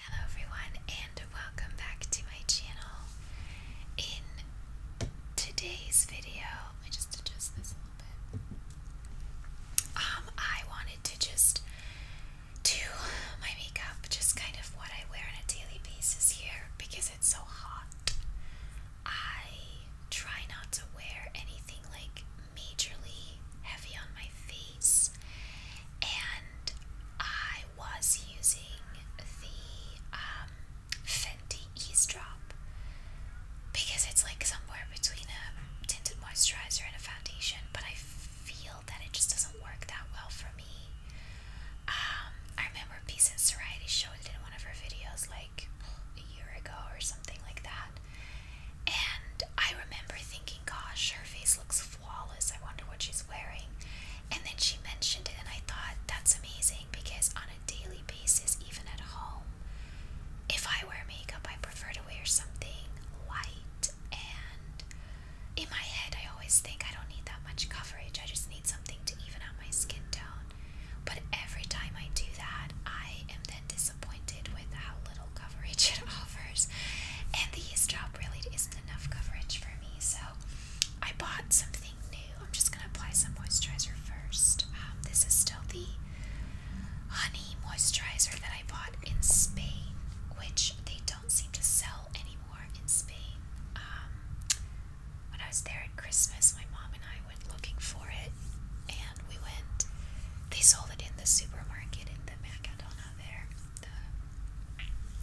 Hello everyone and welcome back to my channel. In today's video, I just adjust this a little bit. Um, I wanted to just do my makeup, just kind of what I wear on a daily basis here because it's so hot. I try not to wear anything like majorly heavy on my face and I was using the um, Fenty Eavesdrop because it's like somewhere between a tinted moisturizer and a foundation, but I feel that it just doesn't work that well for me. Um, I remember Peace and Soriety showed it in one of her videos like a year ago or something like that. And I remember thinking, gosh, her face looks Wallace, I wonder what she's wearing. And then she mentioned it, and I thought that's amazing because on a daily basis, even at home, if I wear makeup, I prefer to wear something light. And in my head, I always think I don't need that much coverage, I just need something to even out my skin tone. But every time I do that, I am then disappointed with how little coverage it offers. And the eavesdrop really is isn't enough coverage for me, so I bought something new. I'm just gonna apply some moisturizer first. Um, this is still the honey moisturizer that I bought in Spain, which they don't seem to sell anymore in Spain. Um, when I was there at Christmas, my mom and I went looking for it, and we went. They sold it in the supermarket in the Mercadona there,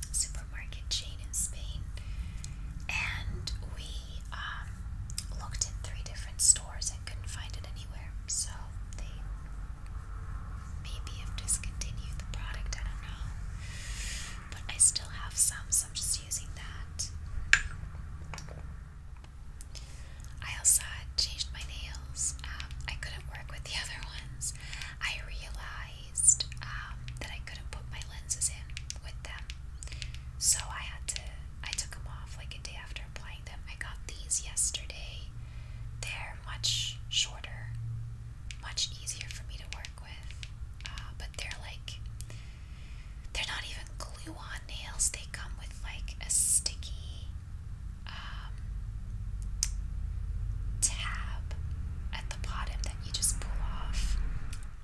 the supermarket chain in Spain, and we um, looked in three different stores and couldn't find it anywhere. So they maybe have discontinued the product. I don't know, but I still have some, so I'm just using that. I also changed my nails. Um, I couldn't work with the other ones. I realized um, that I couldn't put my lenses in with them, so I had to. I took them off like a day after applying them. I got these yesterday. They're much shorter, much easier for me to work with, uh, but they're like they're not even glue on nails. They come with like a sticky. Uh, tab at the bottom that you just pull off,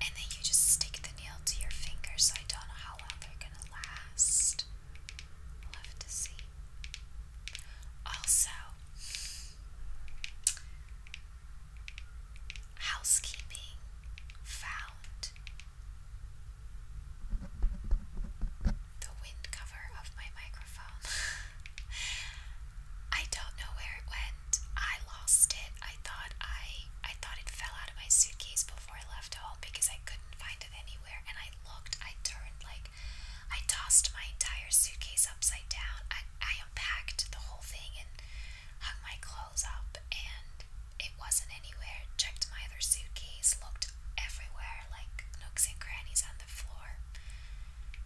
and then you just stick the nail to your finger. So I don't know how long they're gonna last. I'll have to see. Also, housekeeping found the wind cover of my microphone. I don't know where it went. I lost it. I thought I I thought it fell out of my suitcase before I left home because I couldn't find it anywhere and I looked, I turned like I tossed my entire suitcase upside down. I, I unpacked the whole thing and hung my clothes up and it wasn't anywhere. Checked my other suitcase, looked everywhere like nooks and crannies on the floor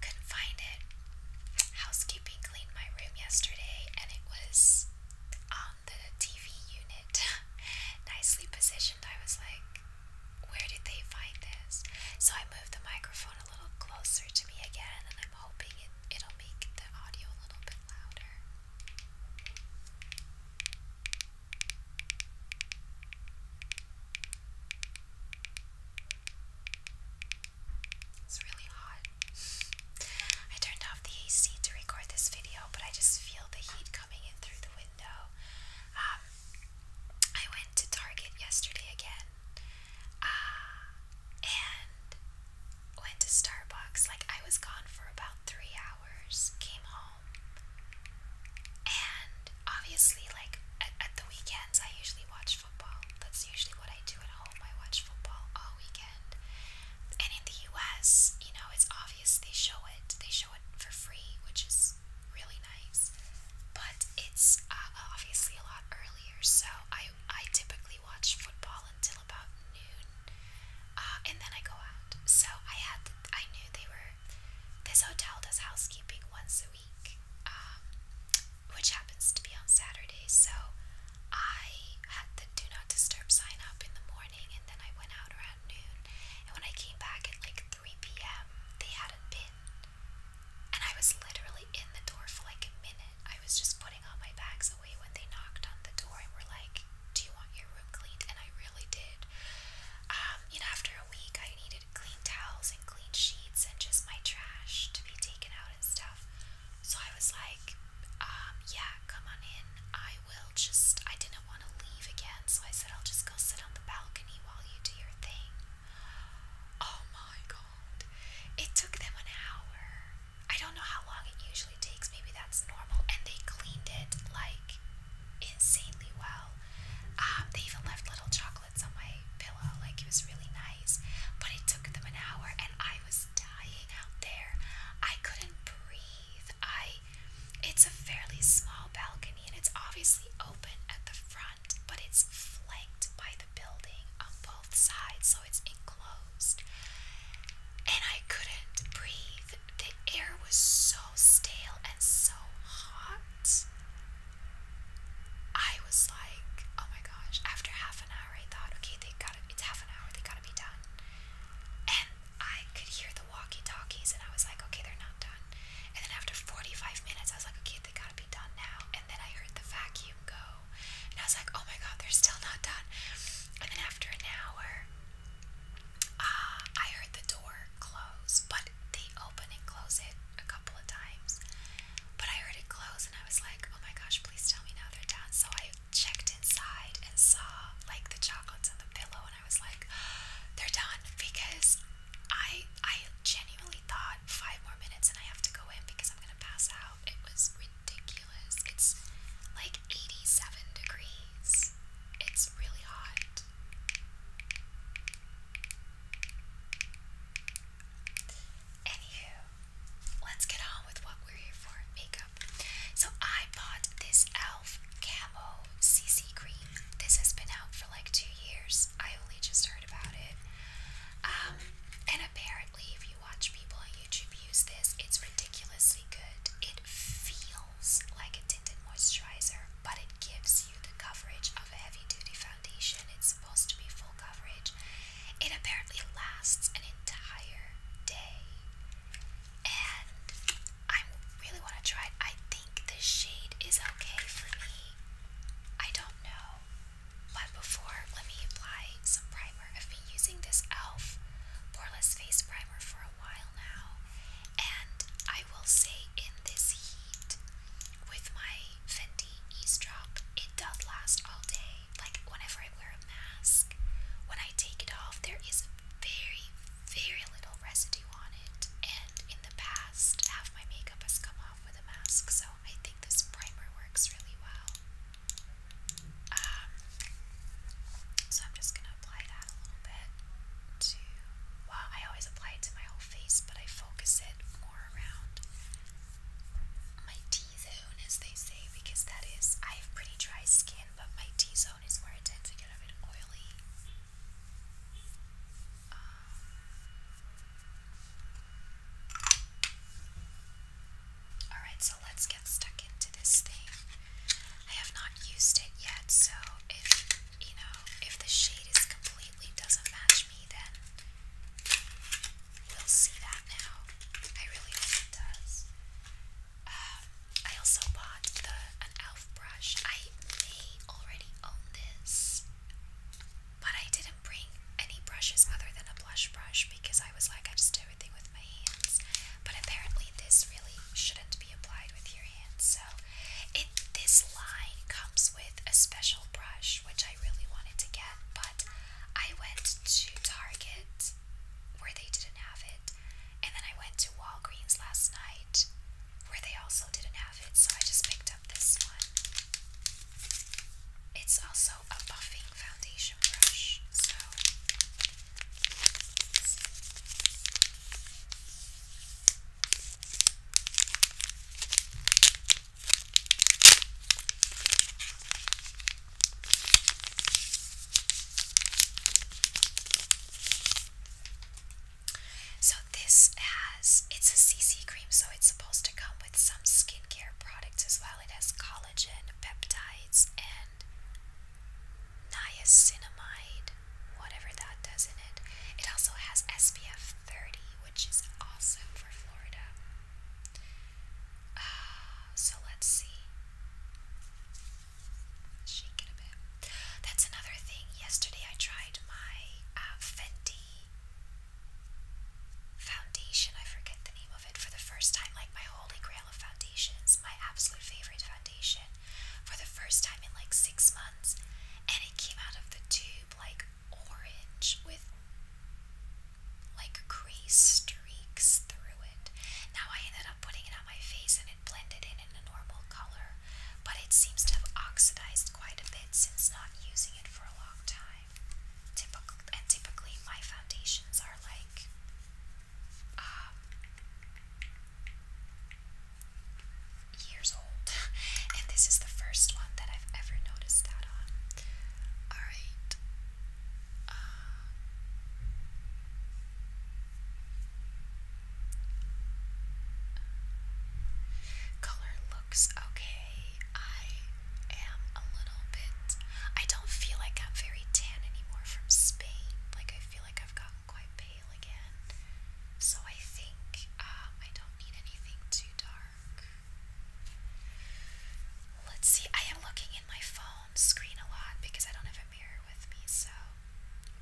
couldn't find it. Housekeeping cleaned my room yesterday and it was on the TV unit. Nicely positioned. I was like, where did they find this? So I moved the microphone a little closer to me again and I'm hoping it, it'll make the audio a little bit louder. It's really hot. I turned off the AC to record this video, but I just feel the heat coming in through the window. Um, I went to Target yesterday again, uh, and went to Starbucks. Like, I was gone for about three hours, came home, and obviously, like, at, at the weekends, I usually watch watch football. That's usually what I do at home. I watch football all weekend. And in the US, you know, it's obvious they show it. They show it for free, which is really nice. But it's uh, obviously a lot earlier, so I I typically watch football until about noon, uh, and then I go out. So I had I knew they were. This hotel does housekeeping once a week, um, which happens to be on Saturday. So I had the do not disturb sign up in the morning, and then I went out around noon. And when I came back at like 3 p.m., they hadn't been. And I was literally in the door for like a minute. I was just putting all my bags away when they knocked on the door and were like, Do you want your room cleaned? And I really did. Um, you know, after a week, I needed collected clean towels and clean sheets and just my trash to be taken out and stuff. So I was like, um, yeah, come on in. I will just, I didn't want to leave again, so I said, I'll just go sit on the balcony while you do your thing. Oh my god. It took them an hour. I don't know how long it usually takes, maybe that's normal. And they cleaned it like insanely well. Um, they even left little chocolate pellets on my pillow. Like it was really nice. But it took them an hour and I was dying out there. I couldn't breathe. I it's a fairly small balcony and it's obviously open at the front, but it's flanked by the building on both sides, so it's enclosed. And I couldn't breathe. The air was so stale and so hot. I was like, oh my gosh, after half an hour, I thought, okay, they got it, it's half an hour, they gotta be done. And I could hear the walkie talkies, and I was like, okay, they're not done. And then after 45 minutes, I was like, okay, they gotta be done now. And then I heard the vacuum go, and I was like, oh my god, they're still not done. And then after an hour, uh, I heard the door close, but they open and close it a couple of times. But I heard it close, house and I was like, oh my gosh, please tell me now they're done. So I checked inside and saw like the chocolates on the pillow and I was like, they're done because I I genuinely thought five more minutes and I have to go in because I'm gonna pass out. It was ridiculous. It's like 87 degrees. It's really hot let's get on with what we're here for makeup. So, I bought this e.l.f. Camo CC Cream. This has been out for like two years. I only just heard about it. Um, and apparently, if you watch people on YouTube use this, it's ridiculously good. It feels like a tinted moisturizer, but it gives you the coverage of a heavy duty foundation. It's supposed to be full coverage. It apparently lasts an entire day. And I really want to try it. I think this shade is okay for me. I don't know. But before, let me apply some primer. I've been using this e.l.f. Poreless Face Primer for a while now. And I will say, in this heat, with my Fenty eavesdrop, it does last all day. Like whenever I wear a mask, when I take it off, there is very, very little residue on it. And in the past, half my makeup has come off with a mask, so I think this primer works really well. Um, so I'm just gonna apply that a little bit to. Well, I always apply it to my whole face, but I focus it more around my T-zone, as they say, because that is, I have pretty dry skin, but my T-zone is where it tends to get a bit oily. Um, alright, so let's get stuck into this thing. I have not used it yet, so if, you know, if the shade is completely doesn't match me, then will see that now. I really hope it does. Um, I also bought the an elf brush. I already own this, but I didn't bring any brushes other than a blush brush because I was like, I just do everything with my hands. But apparently, this really shouldn't be applied with your hands. So, it this line comes with a special brush, which I. I really wanted to get, but I went to Target where they didn't have it, and then I went to Walgreens last night where they also didn't have it, so I just picked up this one. It's also a buffing foundation brush, so. So this has it's a CC cream, so it's supposed to come with some skincare products as well. It has collagen, peptides, and niacinamide, whatever that does in it. It also has SPF 30, which is awesome for Florida. so let's see. Shake it a bit. That's another thing. Yesterday I tried my uh, Fenty foundation. I forget the name of it for the first time. Like my holy grail of foundations, my absolute favorite foundation, for the first time in like six months, and it came out of the tube like orange with like crease streaks through it. Now I ended up putting it on my face and it blended in in a normal color, but it seems to have oxidized quite a bit since not using it for a long time. Typical, and typically my foundations are like um, years old, and this is the first one that I've ever noticed that on. Alright, uh, color looks okay. I am a little bit. I don't feel like I'm very tan anymore from Spain. Like I feel like I've gotten quite pale again. So I think um, I don't need anything too dark. Let's see. I am looking in my phone screen a lot because I don't have a mirror with me, so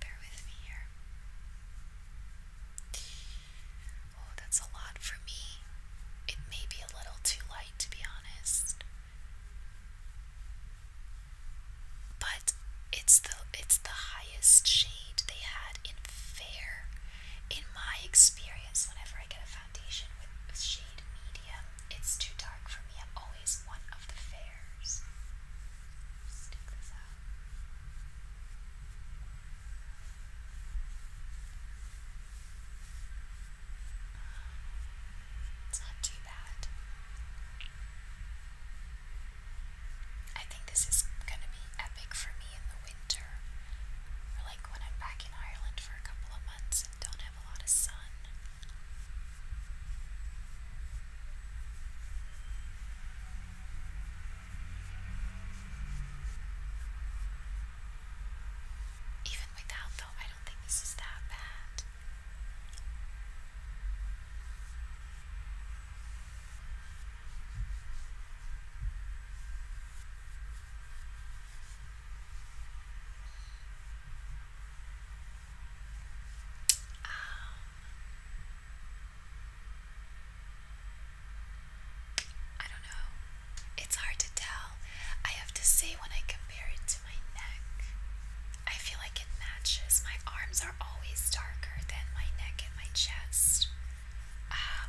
bear with me here. Oh, that's a lot for me. It may be a little too light, to be honest. But it's the it's the highest shade they had in fair in my experience, whenever I get a foundation with, with shade medium, it's too dark for me. I'm always one of the fairs. Stick this out. It's not too bad. I think this is going to be epic for me in the winter. like when I'm back in Ireland for a couple of months even without, though, I don't think this is that bad. Um, I don't know. It's hard to tell. I have to say, when I compare it to my neck, I feel like it matches. My arms are always darker than my neck and my chest. Um,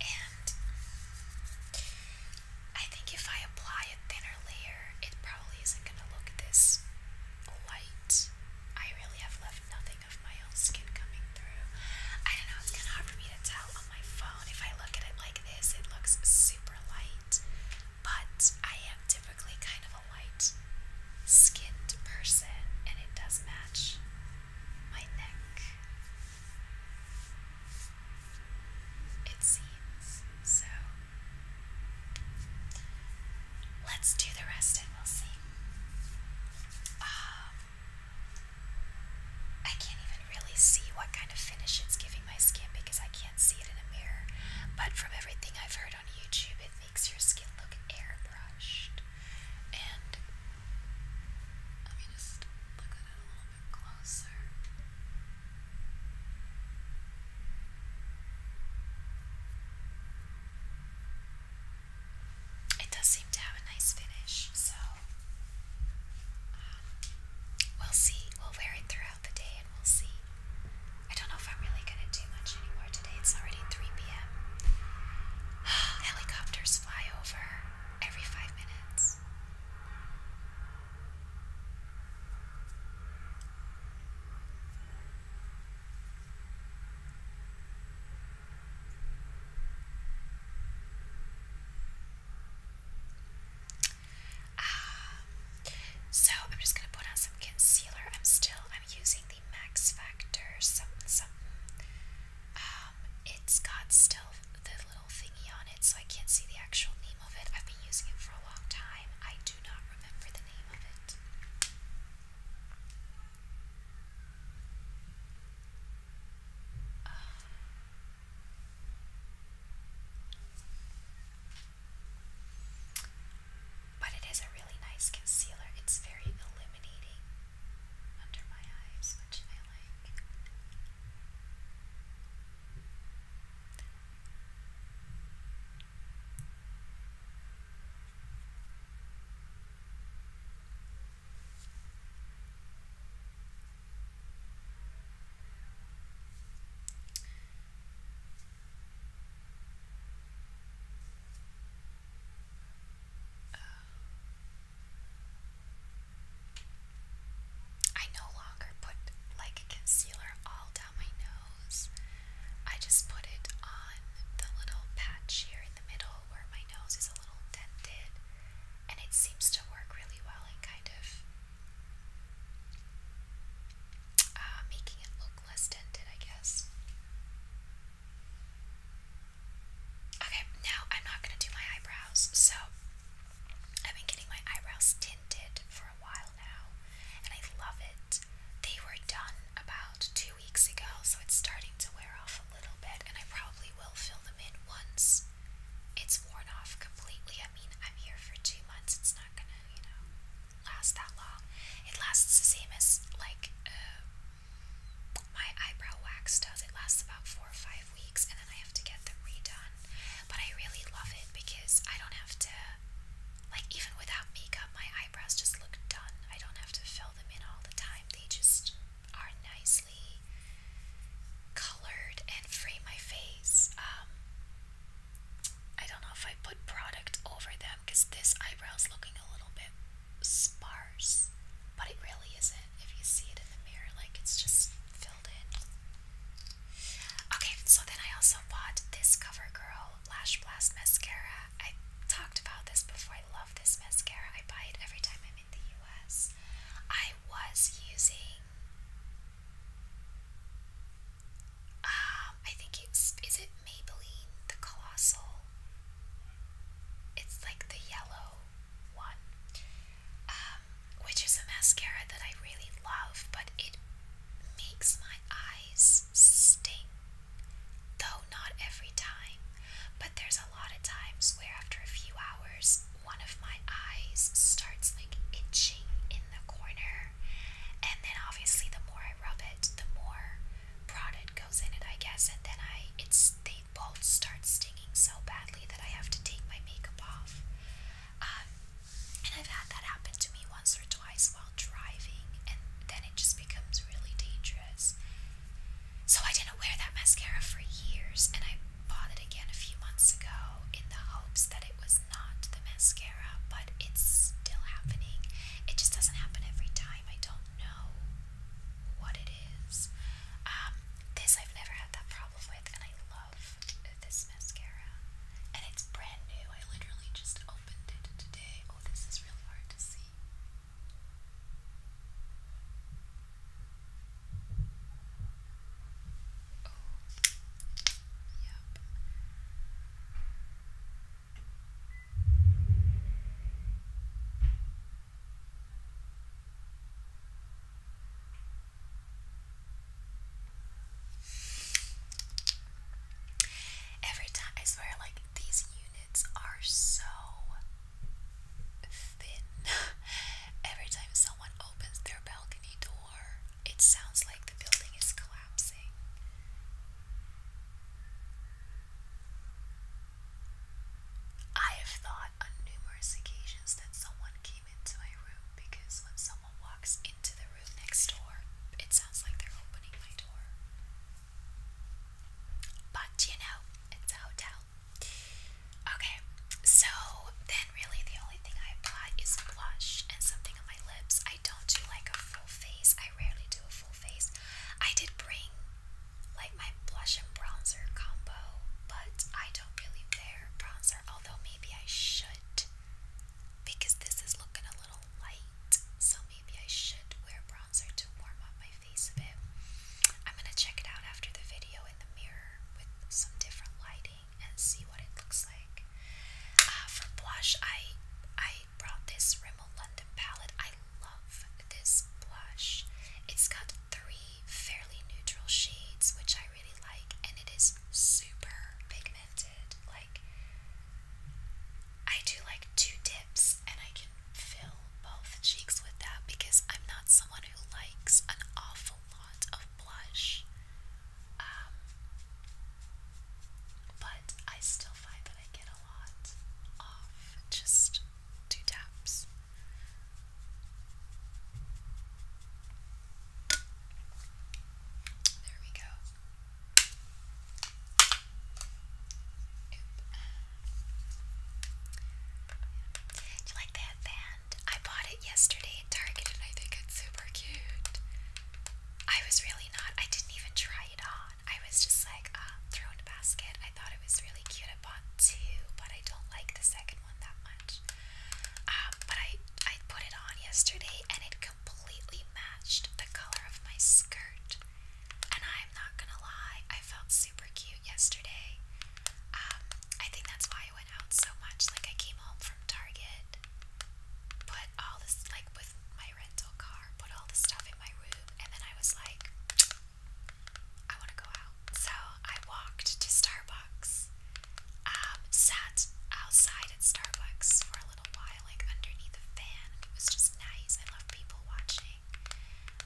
and I think if I apply a thinner layer, it probably isn't going to look this light. I really have left nothing of my own skin coming through. I don't know, it's kind of hard for me to tell on my phone. If I look at it like this, it looks super light. But I am typically kind of light skinned person, and it does match my neck. It seems so. Let's do the rest and we'll see. Um, I can't even really see what kind of finish it's giving my skin because I can't see it in a mirror. But from everything I've heard on YouTube, it does seem to have a nice finish, so um, we'll see. We'll wear it throughout the day and we'll see. I don't know if I'm really going to do much anymore today it's already 3 p.m. Helicopters fly over every five minutes. Um, so I'm just gonna put on some concealer. I'm still I'm using Max Factor something something. Um, it's got still the little thingy on it, so I can't see the actual name of it. I've been using it for a long time. I do not remember the name of it. But it is a really nice concealer. It's very illuminating under my eyes, which I like. I no longer put like concealer all down my nose. I just put it on the little patch here in the middle where my nose is a little dented, and it seems to work really well in kind of uh, making it look less dented, I guess. Okay, now I'm not going to do my eyebrows. So, I've been getting my eyebrows tinted for a while now, and I love it. They were done about two weeks ago, so it's starting to wear off a little bit, and I probably will fill them in once it's worn off completely. I mean, I'm here for two months, it's not gonna, you know, last that long. It lasts the same as like my eyebrow wax does. It lasts about four or five weeks, and then I have to get them redone. But I really love it because I don't have to, like, even without makeup, my eyebrows just look done. I don't have to fill them in all the time. They just are nicely colored and frame my face. Um, I don't know if I put product over them because this eyebrow's looking a little bit sparse, but it really isn't if you see it in the mirror, like it's just filled in. Okay, so then I also bought this CoverGirl Lash Blast Mascara. I talked about this before. I love this mascara. I buy it every time I'm in the US. I was using. Um, I think it's. Is it Maybelline? The Colossal it's like the yellow one, um, which is a mascara that I really love, but it makes my eyes sting. Though not every time, but there's a lot of times where after a few hours, one of my eyes starts like itching in the corner, and then obviously the more I rub it, the more product goes in it, I guess, and then I it's they both start stinging so badly that I have to take my makeup off. Um, and I've had that happen to me once or twice while driving, and then it just becomes really dangerous. So I didn't wear that mascara for years, and I bought it again a few months ago in the hopes that it was not the mascara, but it's still happening. It just doesn't happen every time. I don't know what it is. Um, this I've never had that problem with, and I love this mascara. And it's brand new. I literally just opened it today. Oh, this is really hard to see. Oh, yep. Every time, I swear, like these units are so thin. Every time someone opens their balcony door, it sounds like the building is collapsing. I have thought on numerous occasions that someone came into my room because when someone walks into the room next door, it sounds like they're opening my door. But you know, it's a hotel. Okay, so then really the only thing I apply is blush and something on my lips. I don't do like a full face, I rarely do a full face. I did bring like my blush and bronzer combo, but I don't really wear bronzer, although maybe I should because this is looking a little light, so maybe I should wear bronzer to warm up my face a bit. I'm gonna check it out after the video in the mirror with some different lighting and see what it looks like. Uh, for blush, I I brought this London palette. I love this blush. It's got three fairly neutral shades, which I really like, and it is super pigmented. Like, I do like two dips, and I can fill both cheeks with that because I'm not someone who likes an awful lot of blush. Um, but I still find that I get a lot off just two taps. There we go. Do you like that band? I bought it yesterday at Target and I think it's super cute. I was really not, I didn't even try it on. I was just like, uh, throw basket. I thought it was really cute could have bought two, but I don't like the second one that much. Um, but I I put it on yesterday and it completely matched the color of my skirt. And I'm not gonna lie, I felt super cute yesterday. Um, I think that's why I went out so much. Like I came home from Target, put all this like with my rental car, put all the stuff in my room, and then I was like, I want to go out. So I walked to Starbucks, um, sat outside at Starbucks for a little while, like underneath a fan. It was just nice. I love people watching.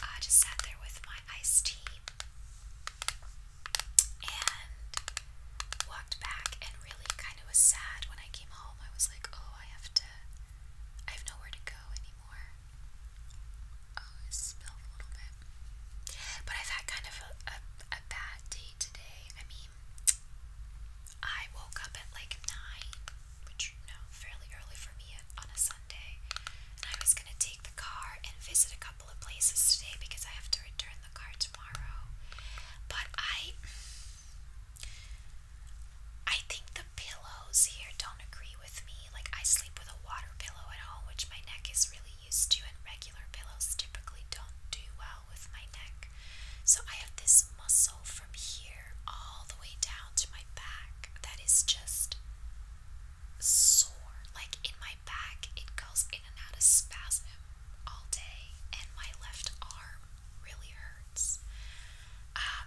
I just sat there with my iced tea and walked back and really kind of was sad when I came home. I was like, oh, I have to, I have nowhere to go anymore. Oh, it a little bit. But I've had kind of a, a, bad day today. I mean, I woke up at like 9, which, you fairly early for me on a Sunday. And I was going to take the car and visit a couple of places today because I have to return the car tomorrow. But I. I think the pillows here don't agree with me. Like, I sleep with a water pillow at all, which my neck is really used to, and regular pillows typically don't do well with my neck. So, I have this muscle from here all the way down to my back that is just sore. Like, in my back, it goes in and out of spasm all day, and my left arm really hurts. Ah, um,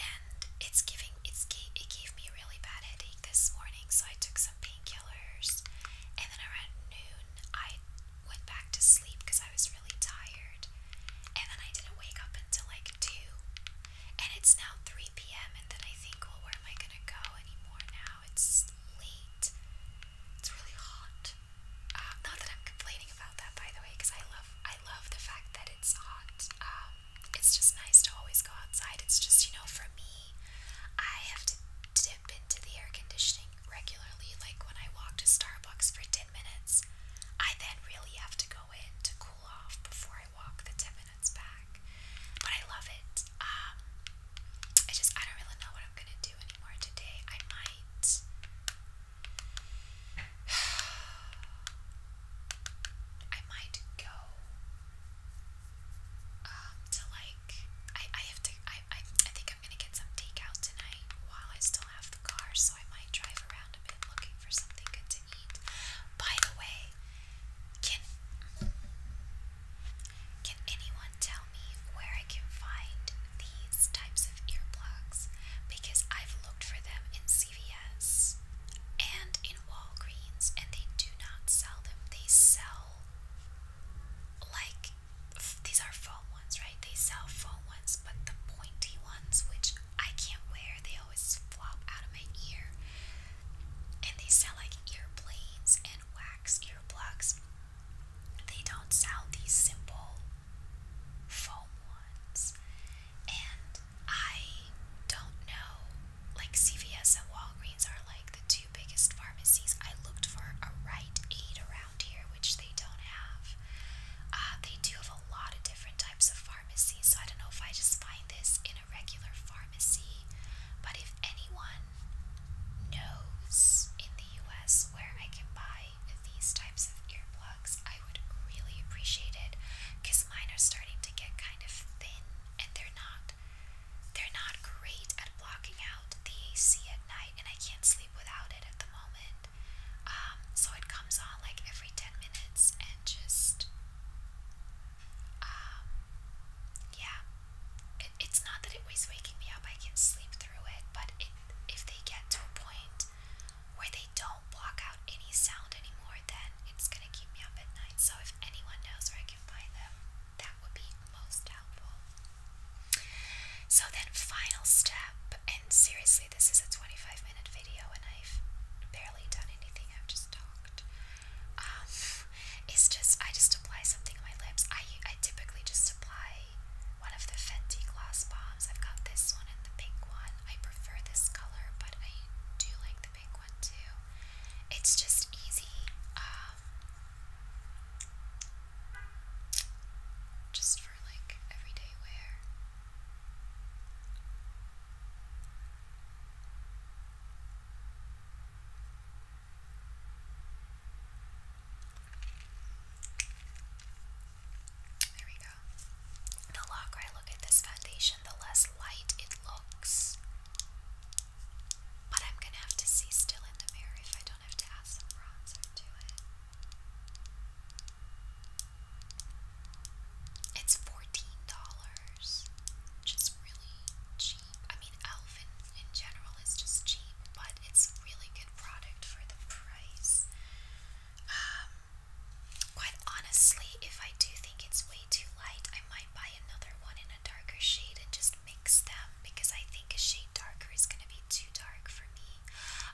and it's giving it's it gave me a really bad headache this morning, so I took some painkillers, and then around noon I went back to sleep because I was really tired, and then I didn't wake up until like two, and it's now three p.m. and then I think, well, where am I gonna go anymore now? It's late. It's really hot. Um, not that I'm complaining about that, by the way, because I love I love the fact that it's hot. Um, it's just nice to always go outside. It's just, you know, for me, I have to dip into the air conditioning regularly. Like when I walk to Starbucks for 10 minutes, I then really have to go in to cool off before I walk the 10 minutes back. But I love it. Um, I just, I don't really know what I'm going to do anymore today. I might. I might go um, to like I I have to I I I think I'm gonna get some takeout tonight while I still have the car, so I might drive around a bit looking for something good to eat. By the way, can can anyone tell me where I can find these types of earplugs? Because I've looked for them in CVS and in Walgreens, and they do not sell them. They sell, like, these are foam ones, right? They sell foam ones, but the pointy ones, which I can't wear, they always flop out of my ear. And they sell, like, earblades and wax earplugs. They don't sell these simple foam ones and I don't know, like CVS and Walgreens are like the two biggest pharmacies. I looked for a Rite Aid around here, which they don't have. Uh, they do have a lot of different types of pharmacies, so I don't know if I just find this in a regular pharmacy. But if anyone knows in the US where I can buy these types of earplugs, I would really appreciate it because mine are starting to get kind of thin and they're not they're not great at blocking out the AC at night and I can't sleep without it at the moment. Um, so it comes on like every 10 minutes and just um yeah. It, it's not that it was waking me up. I can sleep through it, but it if they get to a point where they don't block out any sound anymore, then it's going to keep me up at night. So if anyone knows where I can find them, that would be most helpful. So then final step, and seriously this is a 25 minute video and I've barely done anything, I've just talked. Um, it's just, I just apply something on my lips. I, I typically just apply one of the Fenty gloss bombs. I've got this one and the pink one. I prefer this color, but I do like the big one too. It's just easy, um, just for like everyday wear. There we go. The longer I look at this foundation, the less light it looks. But I'm gonna have to see still in the mirror if I don't have to add some bronzer to it. It's fourteen dollars, which is really cheap. I mean, Elf in, general is just cheap, but it's a really good product for the price. Um, quite honestly, if I do think it's way too light, I might buy another one in a darker shade and just mix them because I think a shade darker is going to be too dark for me.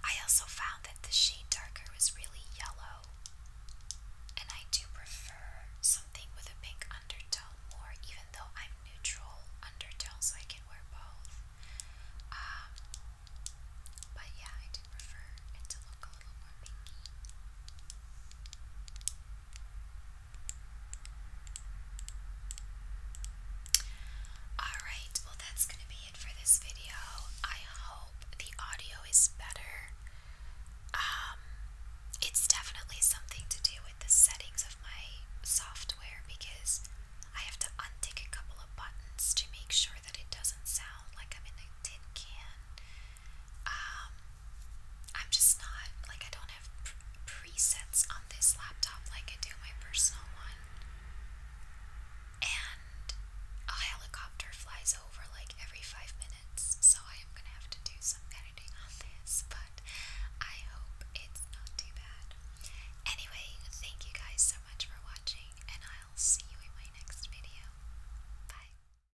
I also found that the shade darker was really yellow, and I do prefer something with a pink undertone more, even though I'm neutral undertone, so I can wear both. Um, but yeah, I do prefer it to look a little more pinky. Alright, well, that's going to be it for this video. I hope the audio is better. Um, it's definitely something to do with the settings of my software because I have to untick a couple of buttons to make sure that it doesn't sound like I'm in a tin can um, I'm just not like I don't have presets on this laptop like I do my personal one. And a helicopter flies over like every five minutes, so I am gonna have to do some editing on this, but I hope it's not too bad. Anyway, thank you guys so much for watching, and I'll see you in my next video. Bye.